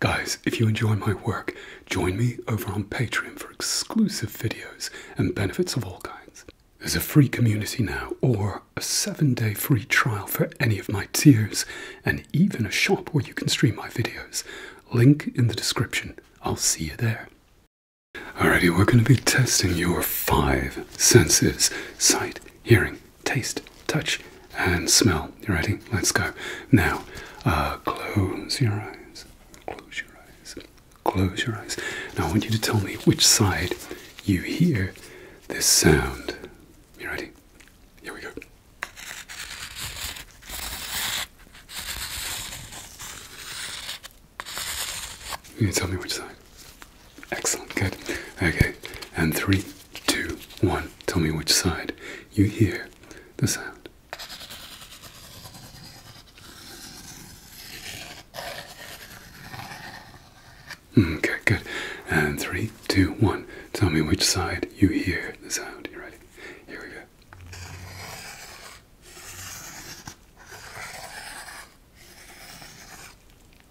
Guys, if you enjoy my work, join me over on Patreon for exclusive videos and benefits of all kinds. There's a free community now, or a seven day free trial for any of my tiers, and even a shop where you can stream my videos. Link in the description. I'll see you there. Alrighty, we're going to be testing your five senses sight, hearing, taste, touch, and smell. You ready? Let's go. Now, uh, close your eyes. Close your eyes. Close your eyes. Now, I want you to tell me which side you hear this sound. You ready? Here we go. You tell me which side. Excellent, good. Okay, and three, two, one. Tell me which side you hear the sound. Mm, okay, good. And three, two, one. Tell me which side you hear the sound. ready? Here we go.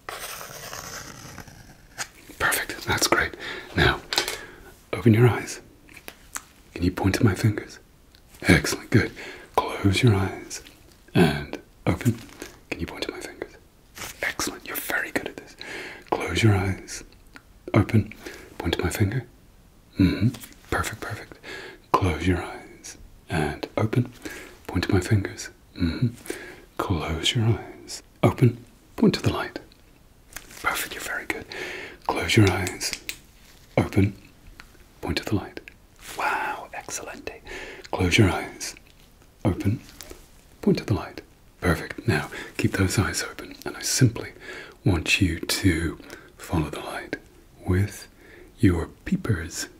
Perfect, that's great. Now, open your eyes. Can you point to my fingers? Excellent, good. Close your eyes and open. Can you point to my fingers? Excellent, you're very good at this. Close your eyes, open, point to my finger. hmm Perfect, perfect. Close your eyes and open. Point to my fingers. Mm-hmm. Close your eyes. Open. Point to the light. Perfect. You're very good. Close your eyes. Open. Point to the light. Wow. Excellent. Close your eyes. Open. Point to the light. Perfect. Now keep those eyes open, and I simply want you to follow the light with your peepers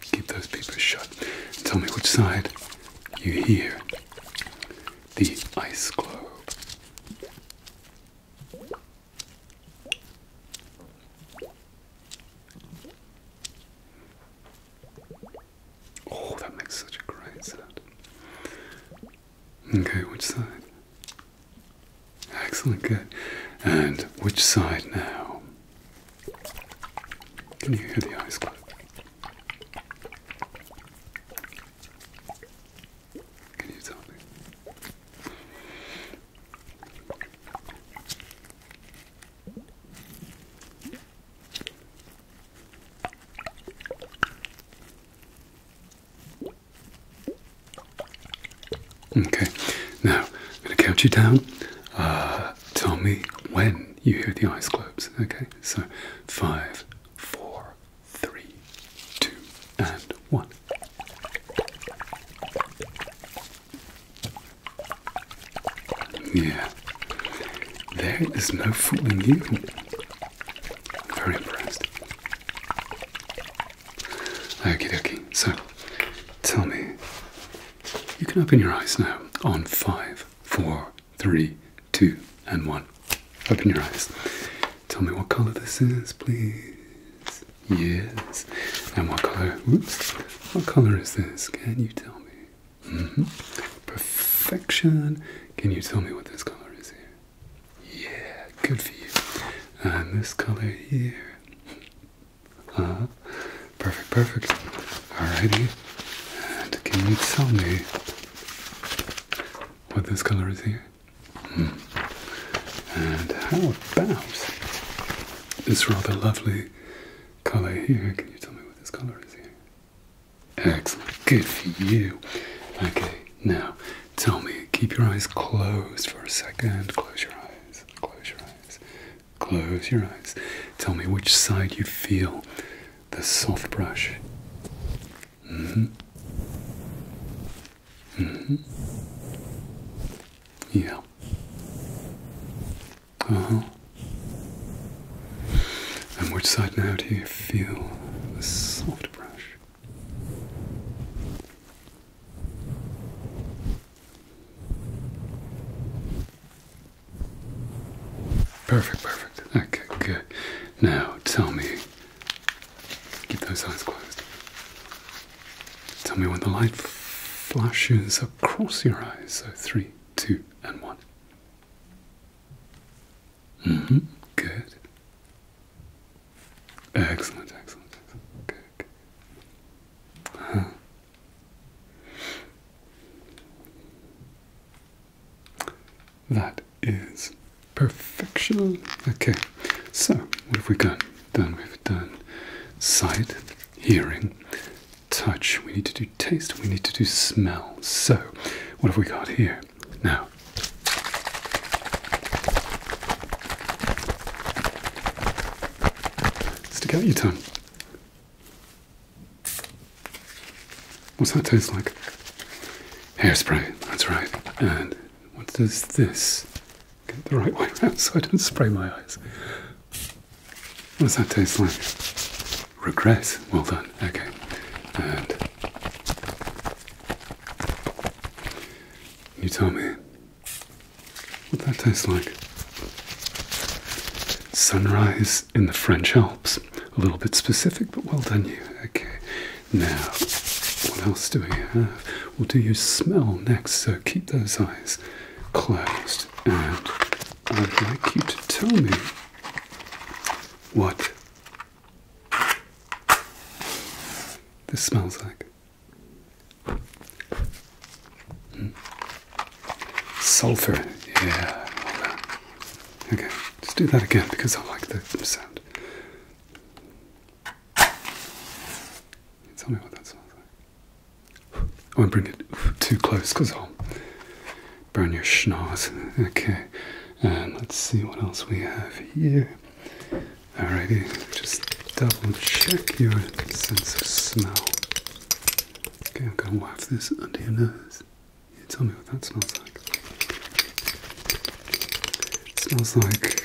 Keep those papers shut. Tell me which side you hear the ice globe. Oh, that makes such a great sound. Okay, which side? Excellent, good. And which side now? Can you hear the ice click? Can you tell me? Okay, now I'm going to count you down. Uh, tell me when you hear the ice cubes. Okay, so five, four, three, two, and one. Yeah, there is no fooling you. very impressed. Okay, dokie. So, tell me. You can open your eyes now on five, four, three, two, and one. Open your eyes. Tell me what colour this is, please. Yes. And what colour? Oops. What colour is this? Can you tell me? -hmm. Perfection. Can you tell me what this colour is here? Yeah, good for you. And this colour here. Uh-huh. Perfect, perfect. Alrighty. And can you tell me what this color is here? Hmm. And how about this rather lovely color here? Can you tell me what this color is here? Excellent. Good for you. Okay, now Tell me, keep your eyes closed for a second. Close your eyes, close your eyes, close your eyes. Tell me which side you feel the soft brush. Mm hmm. Mm hmm. Yeah. Uh huh. And which side now do you feel the soft brush? Perfect, perfect. Okay, good. Now tell me, keep those eyes closed. Tell me when the light flashes across your eyes. So three, two, and one. Mm hmm. Good. Excellent, excellent, excellent. Good. good. That is perfection. Okay, so what have we got? Done, we've done sight, hearing, touch. We need to do taste, we need to do smell. So, what have we got here? Now, stick out your tongue. What's that taste like? Hairspray, that's right. And what does this? Get the right way around so I don't spray my eyes. What does that taste like? Regret. Well done. Okay. And you tell me what that tastes like. Sunrise in the French Alps. A little bit specific, but well done, you. Okay, now what else do we have? We'll do your smell next, so keep those eyes closed. And I'd like you to tell me what this smells like hmm. sulfur. Yeah, all that. Okay, just do that again because I like the sound. Tell me what that smells like. I won't bring it too close because I'll burn your schnoz. Okay, and let's see what else we have here. Alrighty, just double check your sense of smell. Okay, I'm gonna waft this under your nose. You tell me what that smells like. smells like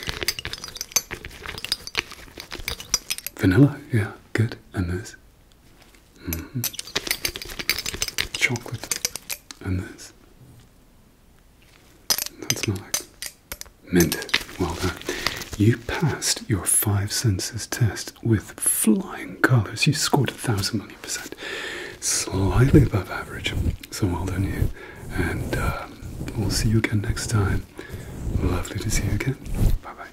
vanilla. Yeah, good. And this. Mm-hmm. Chocolate and this. thats not like mint. Well done. You passed your five senses test with flying colours. You scored a thousand million percent. Slightly above average. So well done you. And uh, we'll see you again next time. Lovely to see you again. Bye bye.